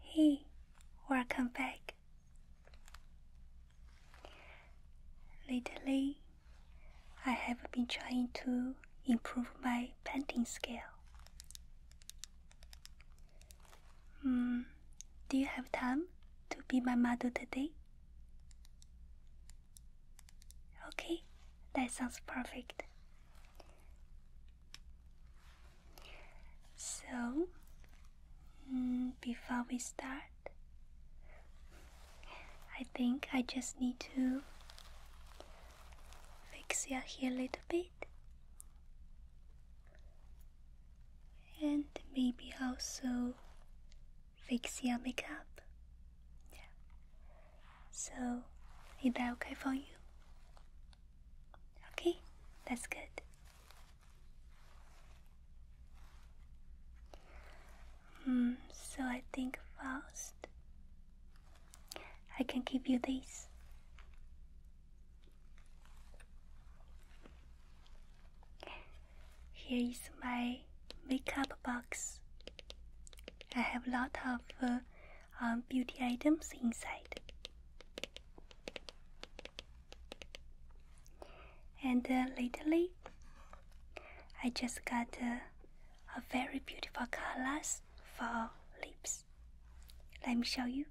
Hey, welcome back. Lately, I have been trying to improve my painting skill. Mm, do you have time to be my model today? Okay, that sounds perfect. So, mm, before we start, I think I just need to fix your hair a little bit. And maybe also fix your makeup. So, is that okay for you? Okay, that's good. Hmm, so I think first I can give you this. Here is my makeup box. I have a lot of uh, um, beauty items inside. And uh, lately, I just got uh, a very beautiful colors for lips. Let me show you.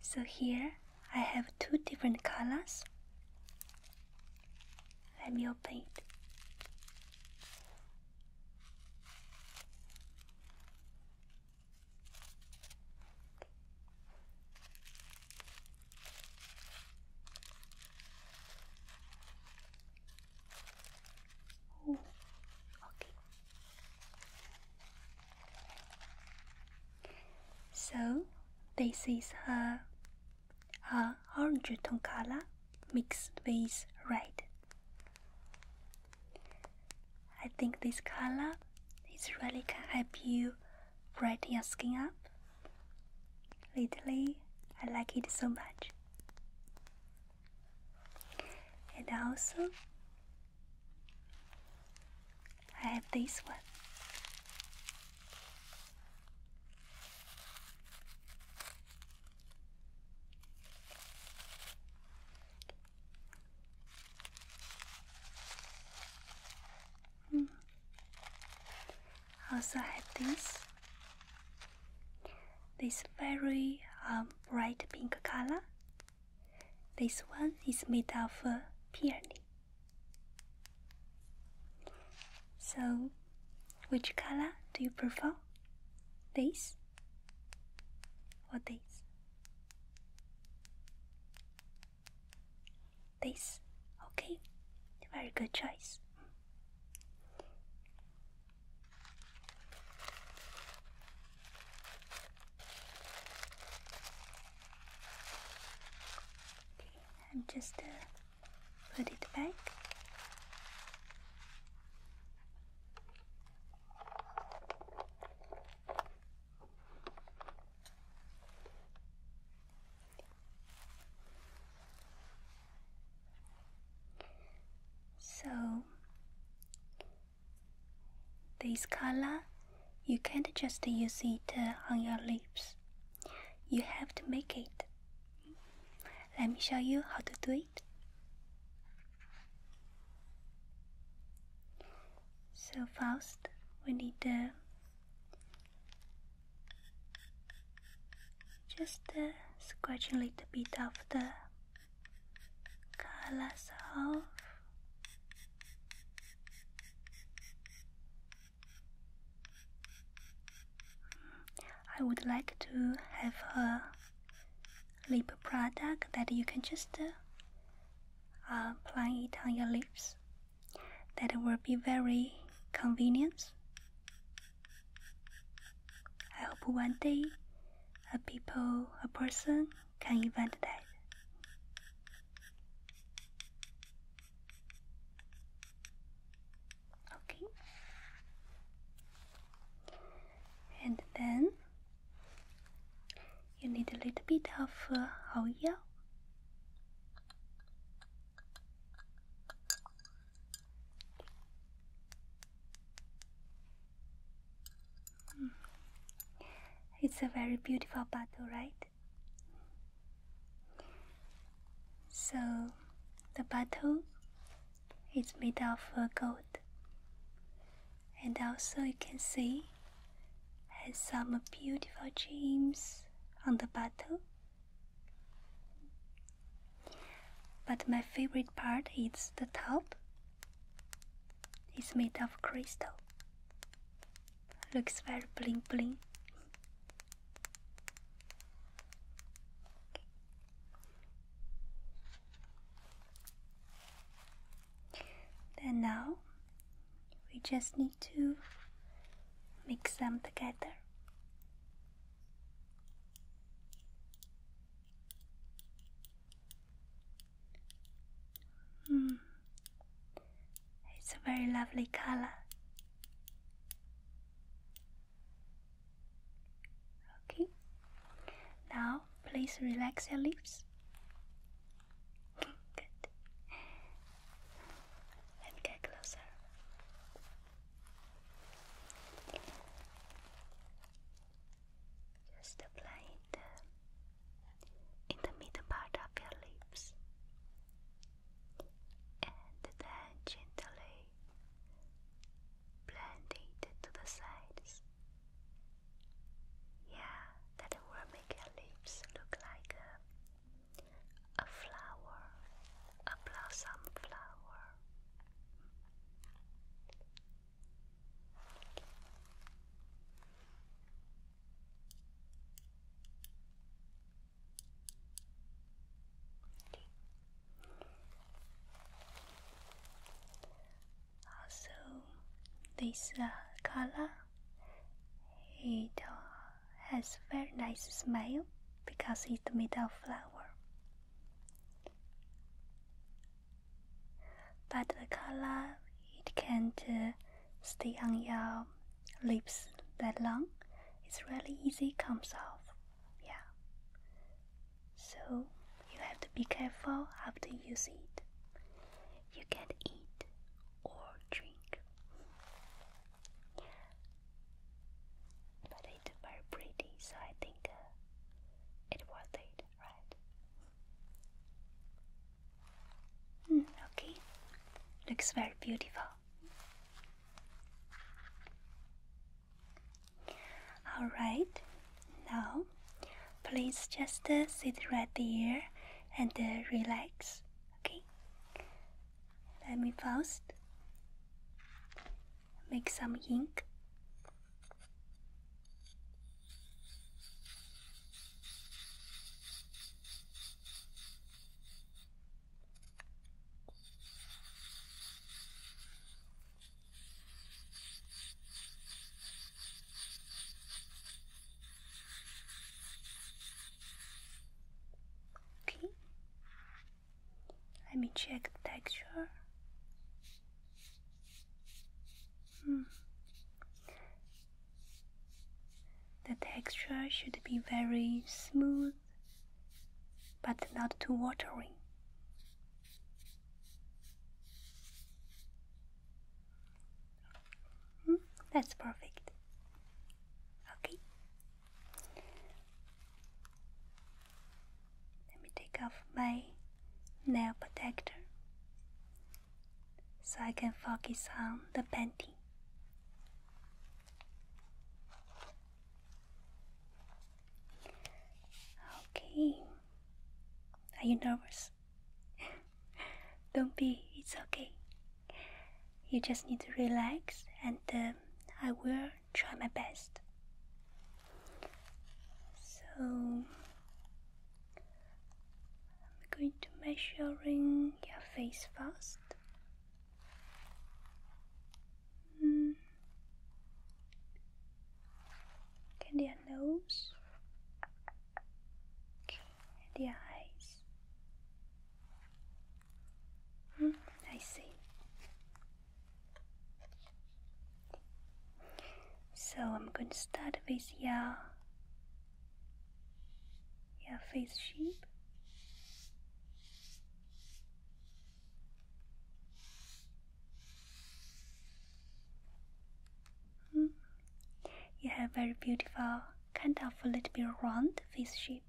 So here I have two different colors. Let me open it. So this is a, a orange tone color mixed with red. I think this color is really can help you brighten your skin up Lately, I like it so much. And also, I have this one. Hmm also have this this very um, bright pink color. This one is made of uh, peony. So, which color do you prefer? This or this? This. Okay, very good choice. Okay, I'm just uh, put it back. So, this color, you can't just use it uh, on your lips. You have to make it. Let me show you how to do it. So first, we need the. Uh, just uh, scratching a little bit of the colors off. I would like to have a lip product that you can just uh, uh, apply it on your lips. That will be very convenient I hope one day a people, a person can invent that. Okay. And then you need a little bit of uh, oil. It's a very beautiful bottle, right? So, the bottle is made of gold, and also you can see has some beautiful gems on the bottle but my favorite part is the top. It's made of crystal. Looks very bling bling. And now we just need to mix them together. Mm. It's a very lovely color. Okay, now please relax your lips. Good. Let get closer. Just apply it in the middle part of your lips and then gently blend it to the sides. Yeah, that will make your lips look like a a flower, a blossom flower. Also, this uh, color it uh, has very nice smell because it's made of flour. But the color it can't stay on your lips that long. It's really easy comes off. Yeah. So you have to be careful after you using it. You can eat or drink. But it's very pretty, so I think uh, it's worth it, right? Hmm, okay, looks very beautiful. Alright, now please just uh, sit right there and uh, relax, okay? Let me first make some ink. Okay. Let me check the texture. Hmm. The texture should be very smooth but not too watery. Hmm, that's perfect. Okay. Let me take off my nail protector so I can focus on the painting. Okay. Are you nervous? Don't be, it's okay. You just need to relax and um, I will try my best. So I'm going to measuring your face first. Hmm. And your nose, and your eyes. Mm, I see. So I'm going to start with your, your face shape. Hmm. You have very beautiful, kind of a little bit round face shape.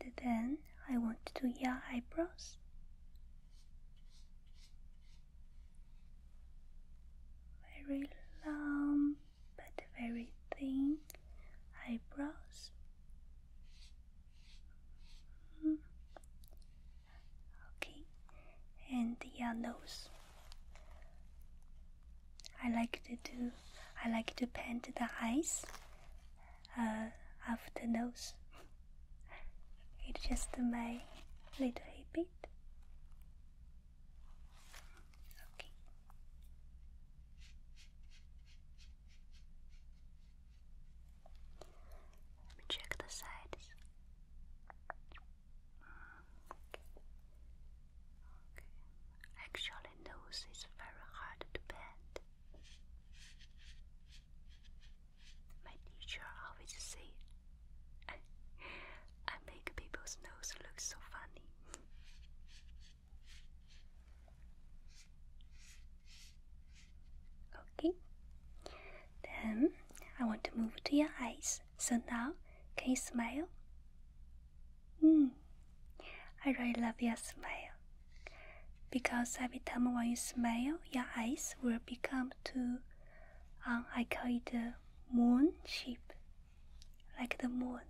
And then I want to do your eyebrows. Very long but very thin eyebrows. Mm-hmm. Okay, and your nose. I like to do. I like to paint the eyes. Uh, after nose. It's just my little habit. Okay. Let me check the sides. Actually, nose is very hard to bend. My teacher always say, I, I make people's nose look so funny. Okay. Then I want to move to your eyes. So now, can you smile? Hmm, I really love your smile. Because every time when you smile, your eyes will become to, um, I call it the moon shape, like the moon.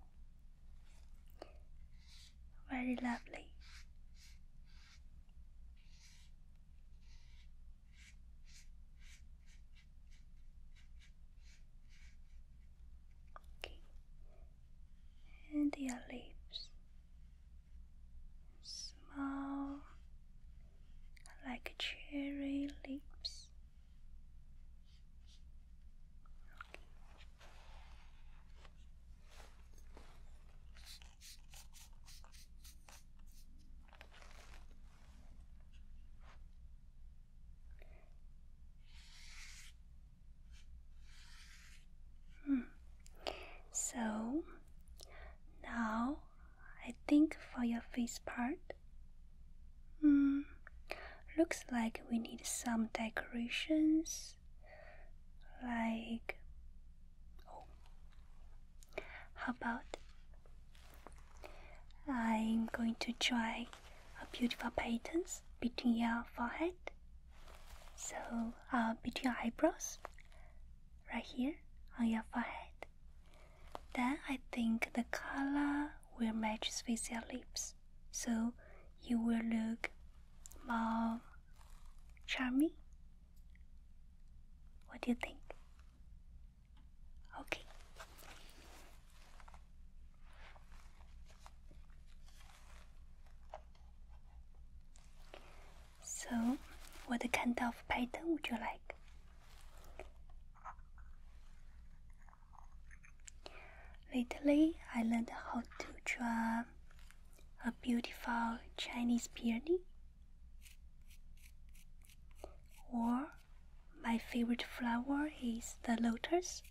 Very lovely. And your lips. Small like cherry lips. Hmm. So now I think for your face part, hmm, looks like we need some decorations like oh, how about I'm going to try a beautiful pattern between your forehead, so I'll uh, between your eyebrows, right here on your forehead. Then I think the color will match with your lips, so you will look more charming. What do you think? Okay. So, what kind of pattern would you like? Lately, I learned how to draw a beautiful Chinese peony or my favorite flower is the lotus.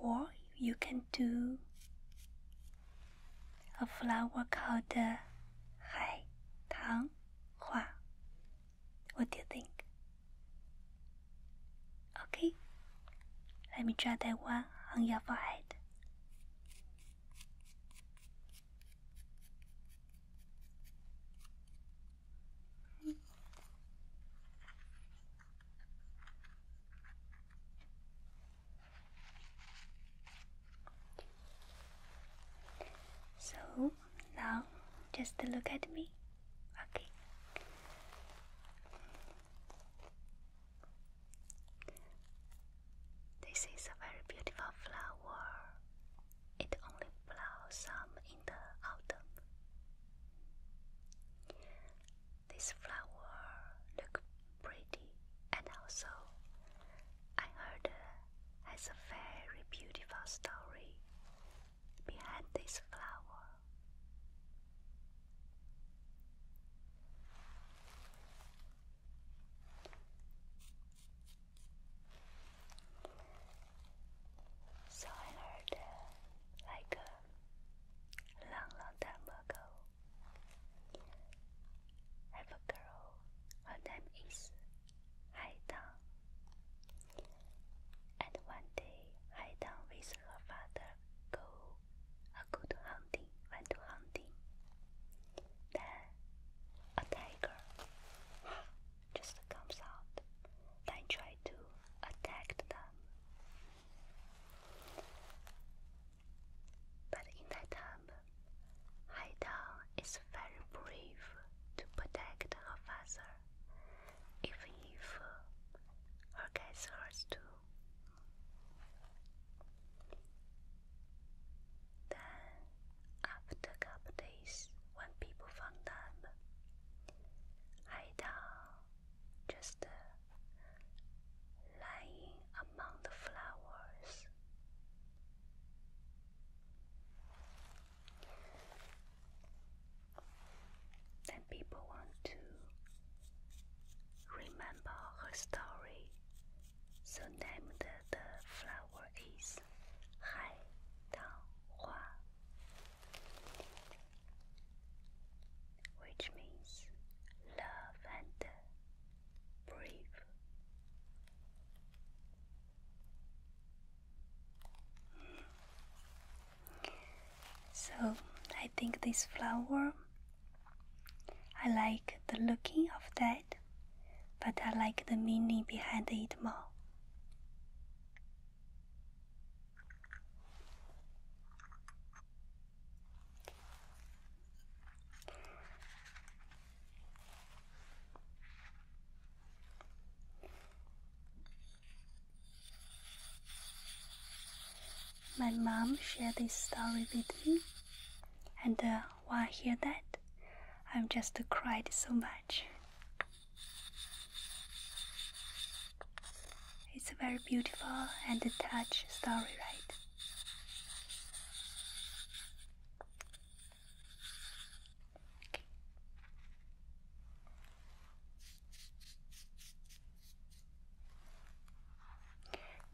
Or you can do a flower called the Hai Tang Hua. What do you think? Okay, let me draw that one on your forehead. So now just look at me. Okay. This is a very beautiful flower. It only blossom in the autumn. This flower looks pretty and also I heard uh, has a very beautiful story behind this flower. So I heard uh, like a uh, long, long time ago, have a girl. Her name is Haidang. And one day, Haidang with her father go uh, go hunting, went to hunting. Then a tiger just comes out, then try to attack them. But in that time, Haidang is very brave to protect her father, even if her guys hurts too. Then, after a couple days, when people found them, Haida just uh, lying among the flowers. Then people want to remember her story so named the flower is Hai Tang which means love and brave. So I think this flower I like the looking of that but I like the meaning behind it more. My mom shared this story with me, and uh, wanna hear that? I've just cried so much. It's a very beautiful and a touch story, right?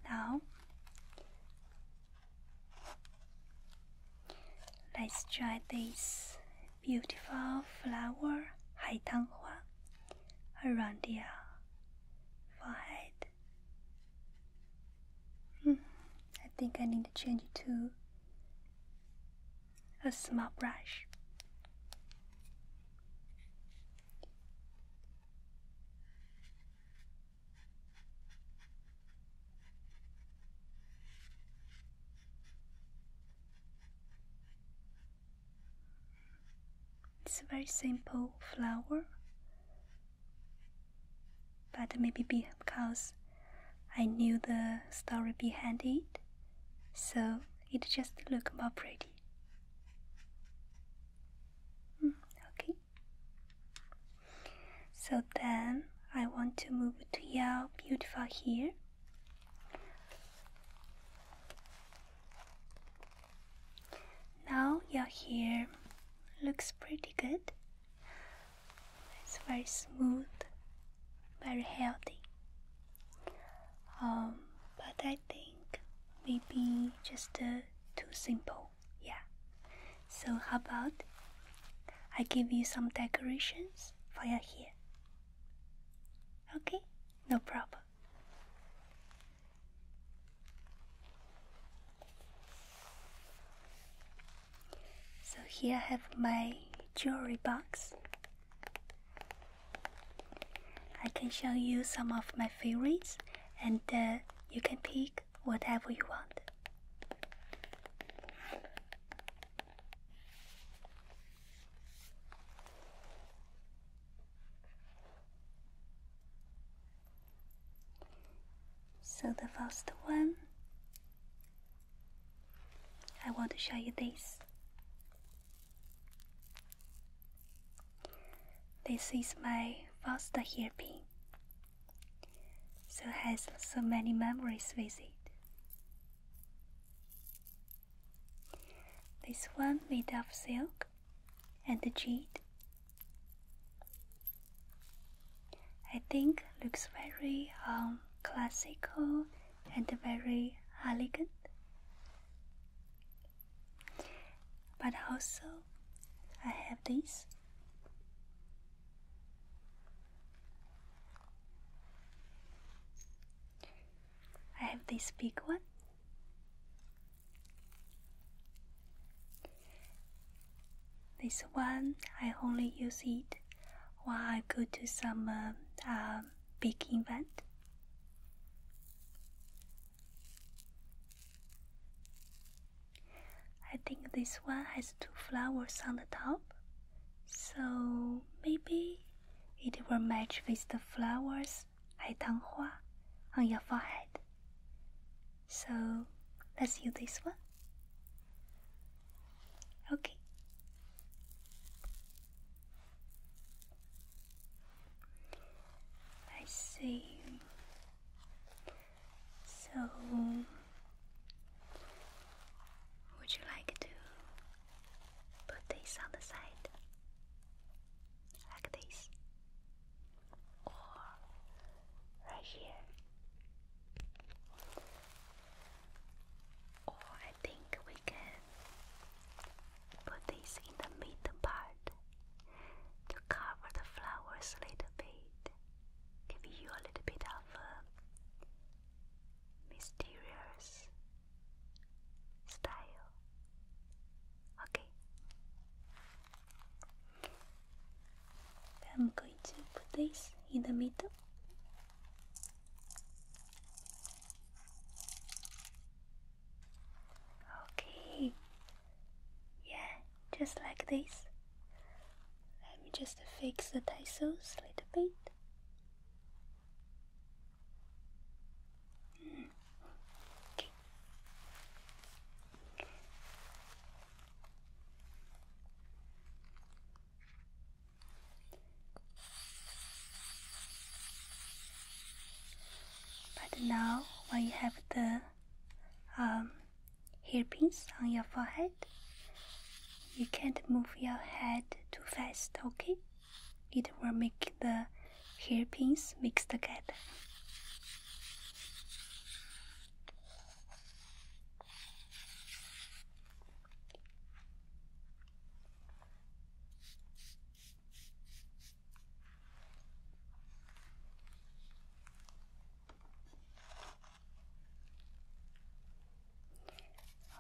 Now Let's try this beautiful flower, Haitanghua, around Hmm, I think I need to change it to a small brush. It's a very simple flower, but maybe because I knew the story behind it, so it just looked more pretty. Hmm, okay, so then I want to move to your beautiful here. Now your hair looks pretty good. It's very smooth, very healthy. Um, but I think maybe just uh, too simple. Yeah. So how about I give you some decorations for your hair? Okay, no problem. So here I have my jewelry box. I can show you some of my favorites and uh, you can pick whatever you want. So the first one, I want to show you this. This is my first hairpin so has so many memories with it. This one made of silk and the jade. I think looks very um, classical and very elegant, but also I have this I have this big one. This one, I only use it when I go to some um, um, big event. I think this one has two flowers on the top, so maybe it will match with the flowers on your forehead. So let's use this one. Okay. I so, would you like to put this on the side? Like this? Or right here? Or I think we can put this in the middle part to cover the flowers a little bit giving you a little bit of uh, mysterious style. Okay. I'm going to put this in the middle. Okay. Yeah, just like this. Let me just fix the tassels a little bit. But now, when have the um, hairpins on your forehead. You can't move your head too fast, okay? It will make the hairpins mix together.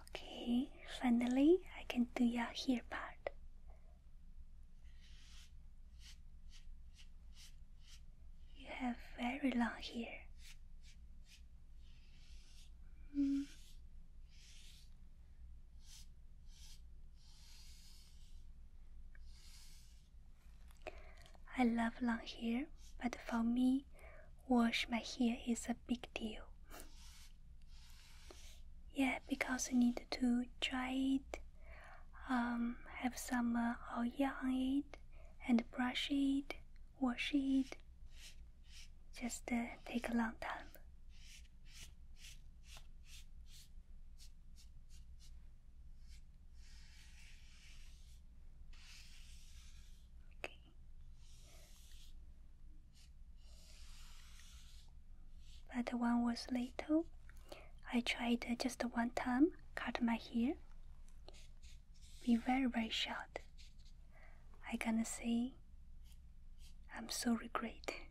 Okay, finally I can do your hair part. You have very long hair. Hmm. I love long hair, but for me, wash my hair is a big deal. yeah, because I need to dry it, um, have some uh, oil on it, and brush it, wash it. Just uh, take a long time. Okay. But one was little. I tried just one time, cut my hair. Be very very short. I gonna say I'm so regret.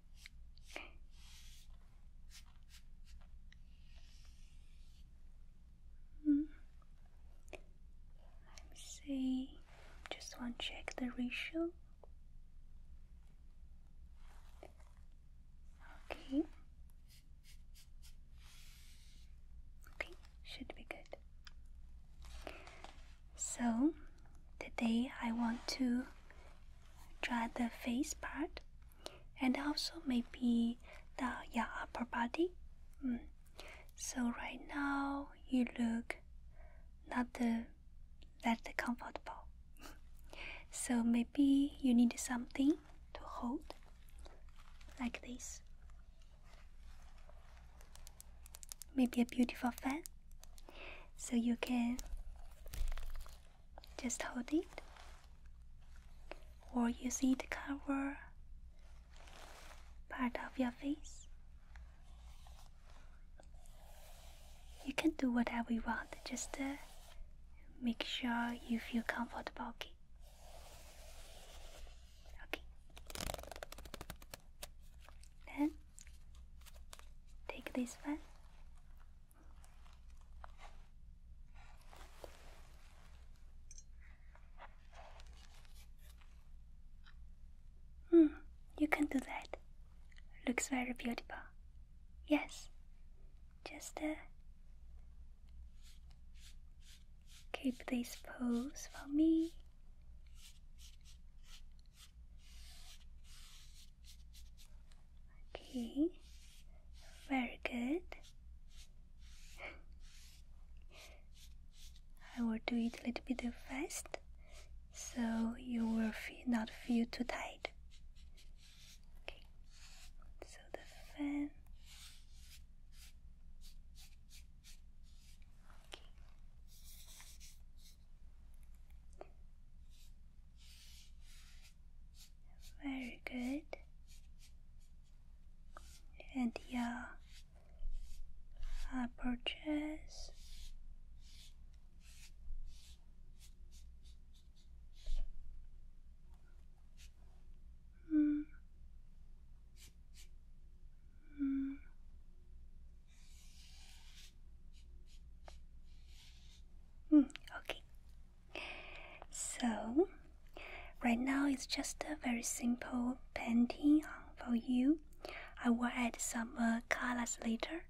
Let me see. Just want to check the ratio. Okay. Okay, should be good. So today I want to try the face part and also maybe the yeah, upper body. Mm. So right now you look not that comfortable. so maybe you need something to hold like this. Maybe a beautiful fan. So you can just hold it or you see the cover part of your face. You can do whatever you want, just uh, make sure you feel comfortable, okay? Okay. Then take this one. Hmm, you can do that. Looks very beautiful. Yes. Just uh, keep this pose for me. Okay. Very good. I will do it a little bit fast so you will not feel too tight. Okay, so the fan. Okay. Very good and your approaches. Mm. Mm. Mm, okay, so Right now, it's just a very simple painting uh, for you. I will add some uh, colors later.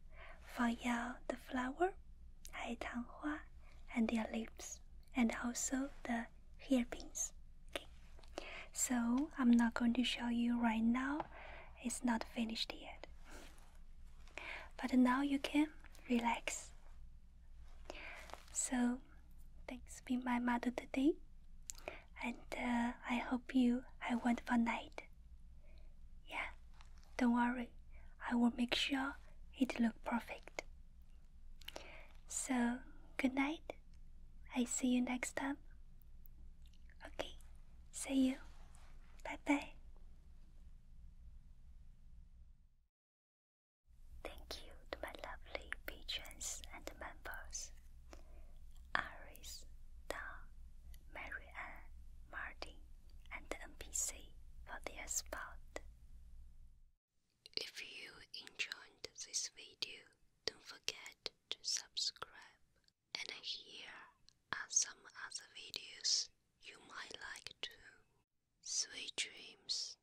for out the flower, 海棠花, and their lips, and also the hairpins. Okay. So I'm not going to show you right now. It's not finished yet. But now you can relax. So, thanks being my mother today, and uh, I hope you have a wonderful night. Yeah, don't worry, I will make sure it look perfect. So, good night. I see you next time. Okay, see you. Bye bye. Thank you to my lovely patrons and members Iris, Don, Marianne, Marty, and NPC for their support. If you enjoyed this video, don't forget to subscribe. And here are some other videos you might like too. Sweet dreams.